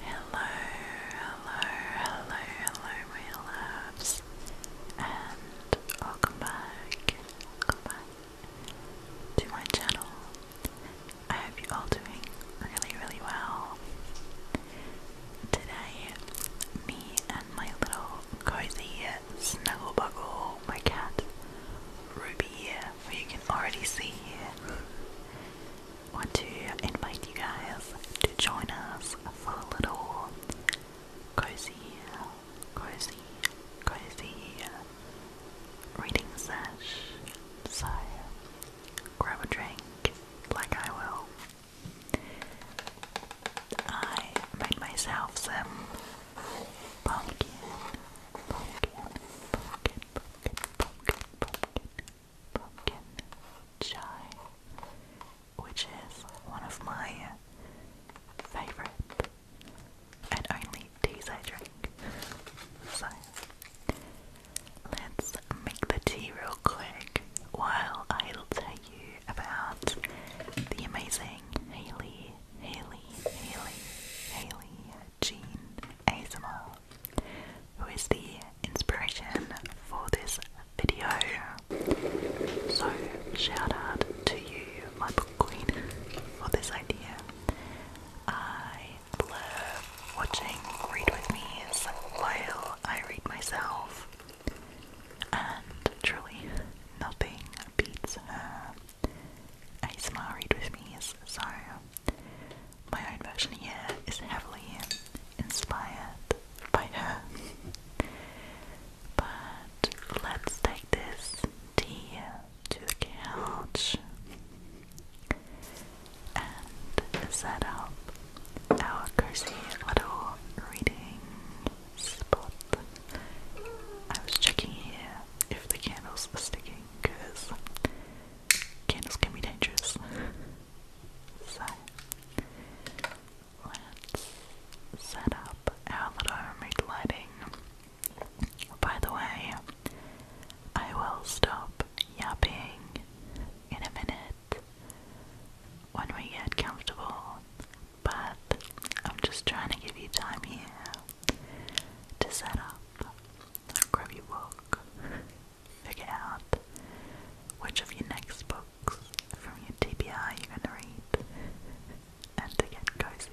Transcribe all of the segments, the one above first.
Hello, hello, hello, hello, my loves, and welcome back, welcome back to my channel. I hope you're all doing really, really well. Today, me and my little cozy snuggle buckle, my cat Ruby, who you can already see here, want to invite you guys to join us for a little cozy, cozy, cozy reading session? So grab a drink, like I will. I made myself some pumpkin, pumpkin, pumpkin, pumpkin, pumpkin, pumpkin, pumpkin chai, which is one of my favorite and only teas I drink. So let's make the tea real quick while I'll tell you about the amazing Haley, Haley, Haley, Haley, Jean ASMR, who is the inspiration for this video. So, shout out to you, my book queen, for this idea. I love watching Read With Me's while I read myself, and truly, nothing beats her. Read With Me's, so my own version here is heavily inspired by her. but let's take this tea to the couch and set up our cozy little reading spot. I was checking here if the candles were sticking because candles can be dangerous. so, let's set up our little remote By the way, I will stop yapping in a minute when we get comfortable, but I'm just trying to give you time here to set up. Grab your book figure out which of your next books from your TBR you're going to read and to get cozy.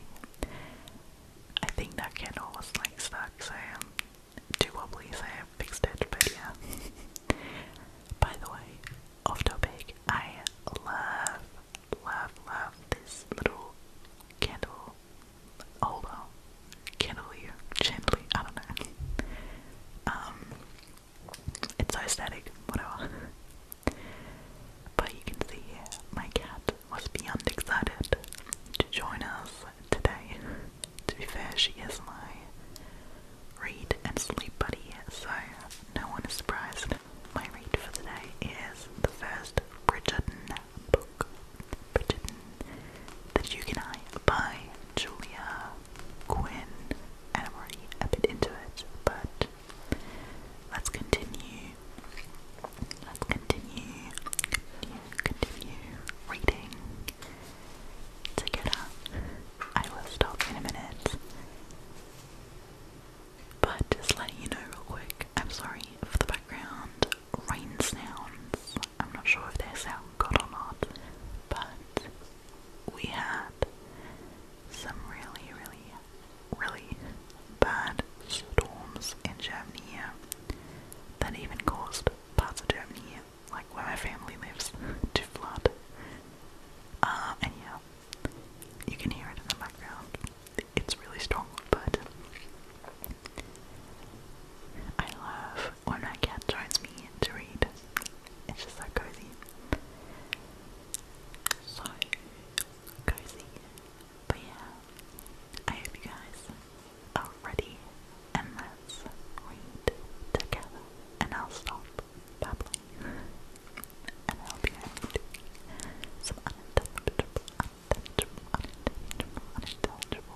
I think that candle was like stuck, so um, too wobbly, so I fixed it, but yeah. By the way, off topic, I love, love, love this little candle although chandelier, chandelier, I don't know. Um, it's so static, whatever. But you can see my cat was beyond excited to join us today. To be fair, she is my read and sleep buddy, so no one is surprised. My read for today is the first Bridgerton book. Bridgerton, The Duke and I by Julia Quinn, I'm already a bit into it, but let's continue. Let's continue, continue reading together. I will stop in a minute. But just letting you know real quick, I'm sorry for the background rain sounds. I'm not sure if they sound good or not, but we had some really, really, really bad storms in Germany that even caused parts of Germany like where my family lives, to flood. Uh, and yeah, you can hear it in the background. It's really strong, but I love or my cat joins me to read. It's just so cozy. So cozy. But yeah, I hope you guys are ready and let's read together. And I'll stop babbling. and I'll be able to unintelligible, unintelligible, unintelligible, unintelligible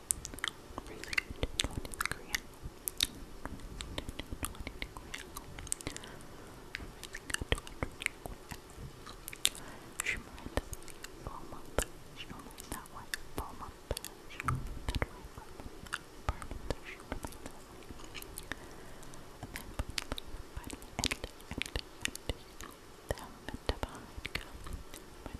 She might fall month. She might that way. Fall month. She might that way. Apartment. She might that way. And then but and and and them and divide come. My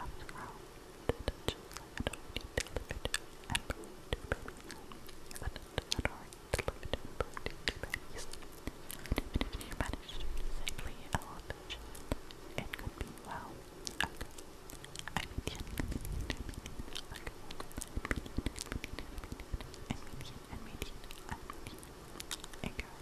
I was grown to touch and already delivered and brought to baby but had already delivered and brought to babies. And even if you managed to safely elevate it could be well. Okay. I mean, like, and median, and median, and median, and median, and median, and median, and median,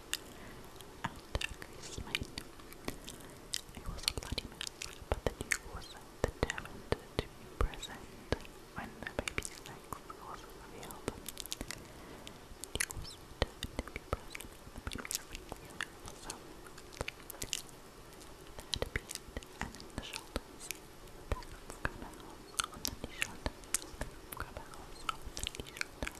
and Chris It was a bloody but the Duke was determined to present when the baby's sex was revealed. The was determined to present the baby's sex was revealed. That appeared, and the shoulders, the back of the the shoulders, the back of the the shoulders.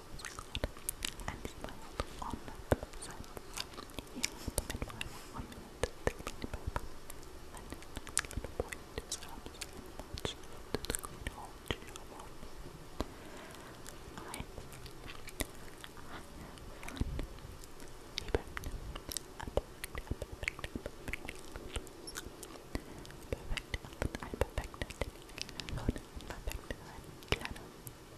smiled and smiled on both sides. He had the midwife one minute to clean the paper, then the little boy in his arms and marched to the great hall to your wall. I, I have fun, he begged, a perfect, a perfect, a perfect little Perfect, I perfected it. I thought I perfected it. Claro,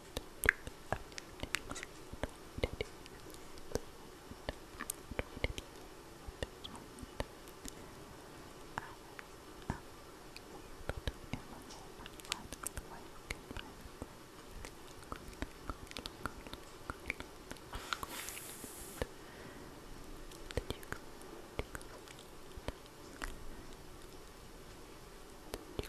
Did you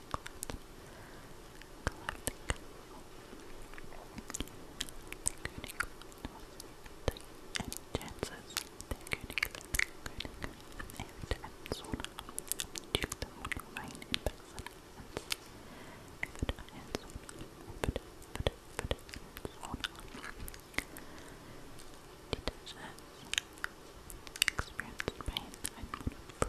Galactic. Galactic. The unicorn the chances the unicorn and and so on. Duke them would remain in person and and and so on. And so on. Detachers experienced pain and would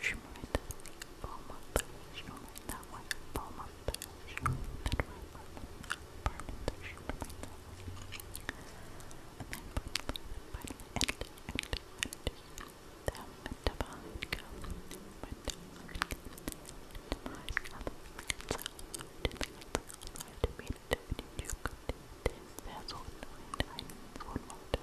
Shimmered, foam of shimmered that way, foam of shimmered that way, burning, shimmered that way. And then burning, burning, and, and, and. Them divide come, but divide come. Divide come, to be the duke. This, there's one, and I, one more.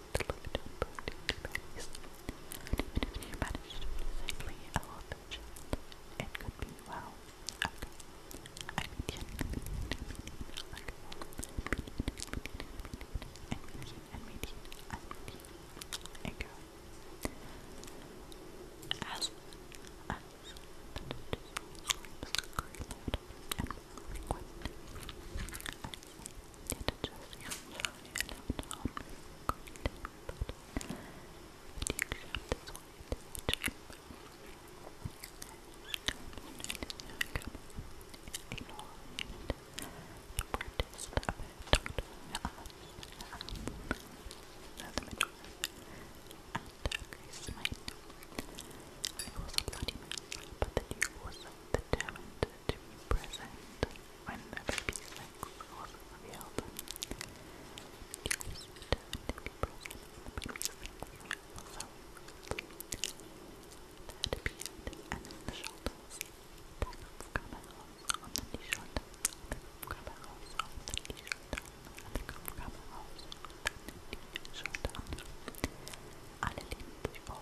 the looked up to Paris. Even managed safely it could be well. Okay. I mean, like, and meeting, and meeting, and meeting. There you go. As, as, that is just screams, scream loud, and frequent. As, it just comes from your left arm. But if you accept this way to the chamber, it is your The practice that we're talking about the middle and Grace made. It was a bloody mess, but the Duke was determined to be present when the baby's sex was revealed. It was determined to be the baby's sex was revealed. and the shoulders. Packets come out on the knee shoulders. Packets come out on the knee shoulders. Packets come out on the shoulders. Alle lehnen sich vor.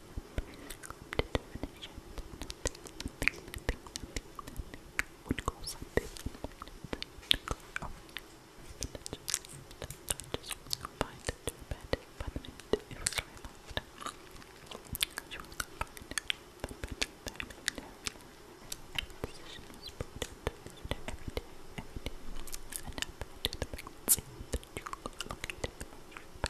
Every day, every day, and now to the pregnancy that you located the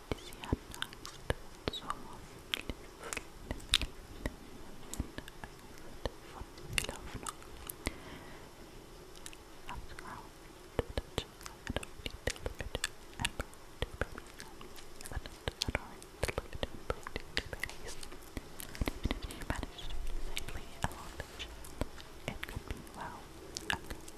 is ja nicht so von Lauf After all, the I don't need to look at it and to but I don't need to look at it and to babies. Even if you manage to do safely along the channel, it could be, well, a good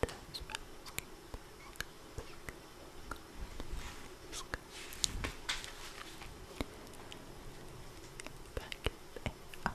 Getting outside, but, but getting out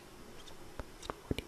Back and out and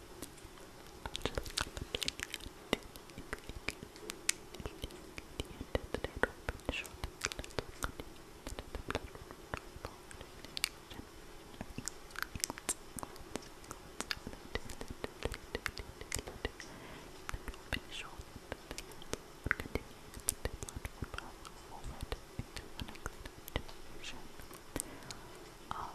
Continue the platform forward into the next dimension of Six,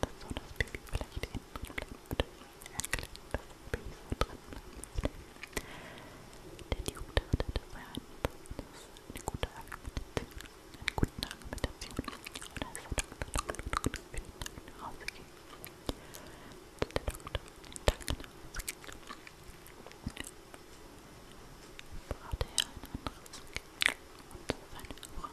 das so, dass Baby vielleicht innen drin bleiben würde. Ein kleines Baby so drin bleiben würde. Denn die Hunde hatte das war ein, das ist eine gute Argumentation. Eine gute Argumentation. Und als der Doktor dann nach Hause ging, als der Doktor den Tag nach Hause ging, brauchte er ein anderes Kind. Und seine Frau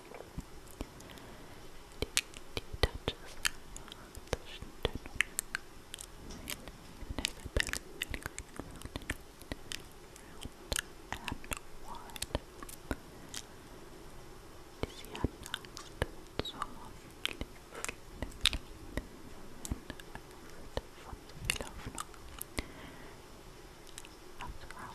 Die, die touches the general really round and wide. Is he unnoticed? So often, from the Philophenol. After all,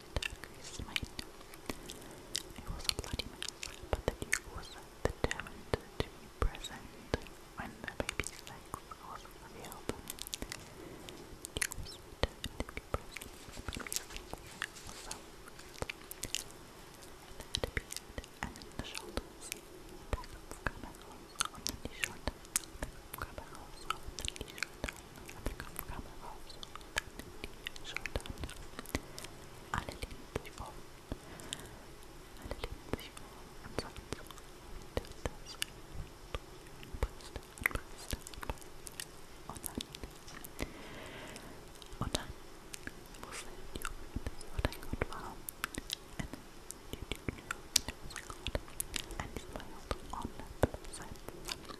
Dacres might. It was a bloody mess, but the Duke determined to be present when the baby's was revealed. He was determined to be present when the baby's sex was revealed. and in the shoulders, the presence of on the shoulders, Clubhouse, the new Clubhouse, Alle lieben sich vor. Alle lieben sich vor. Und sonst das Priester, Priester, Und dann, und dann muss der YouTube, oh dein Gott, wow. And YouTube knew it was recorded. And this was on the website.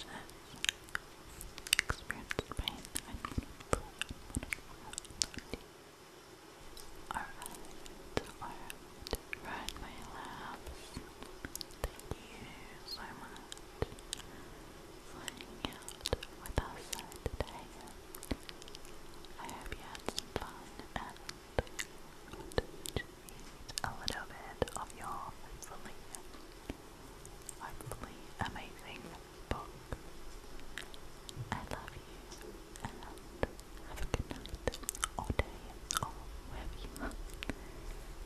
Did experienced pain. Unmanageable, unmanageable. Alright, alright, right my labs. Thank you so much for out with us today. I hope you had fun and just a little bit of your hopefully hopefully amazing book. I love you and have a good night or day or wherever you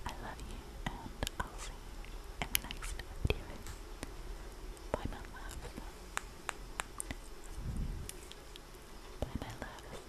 I love you and I'll see you in the next video. Bye my loves. Bye my loves.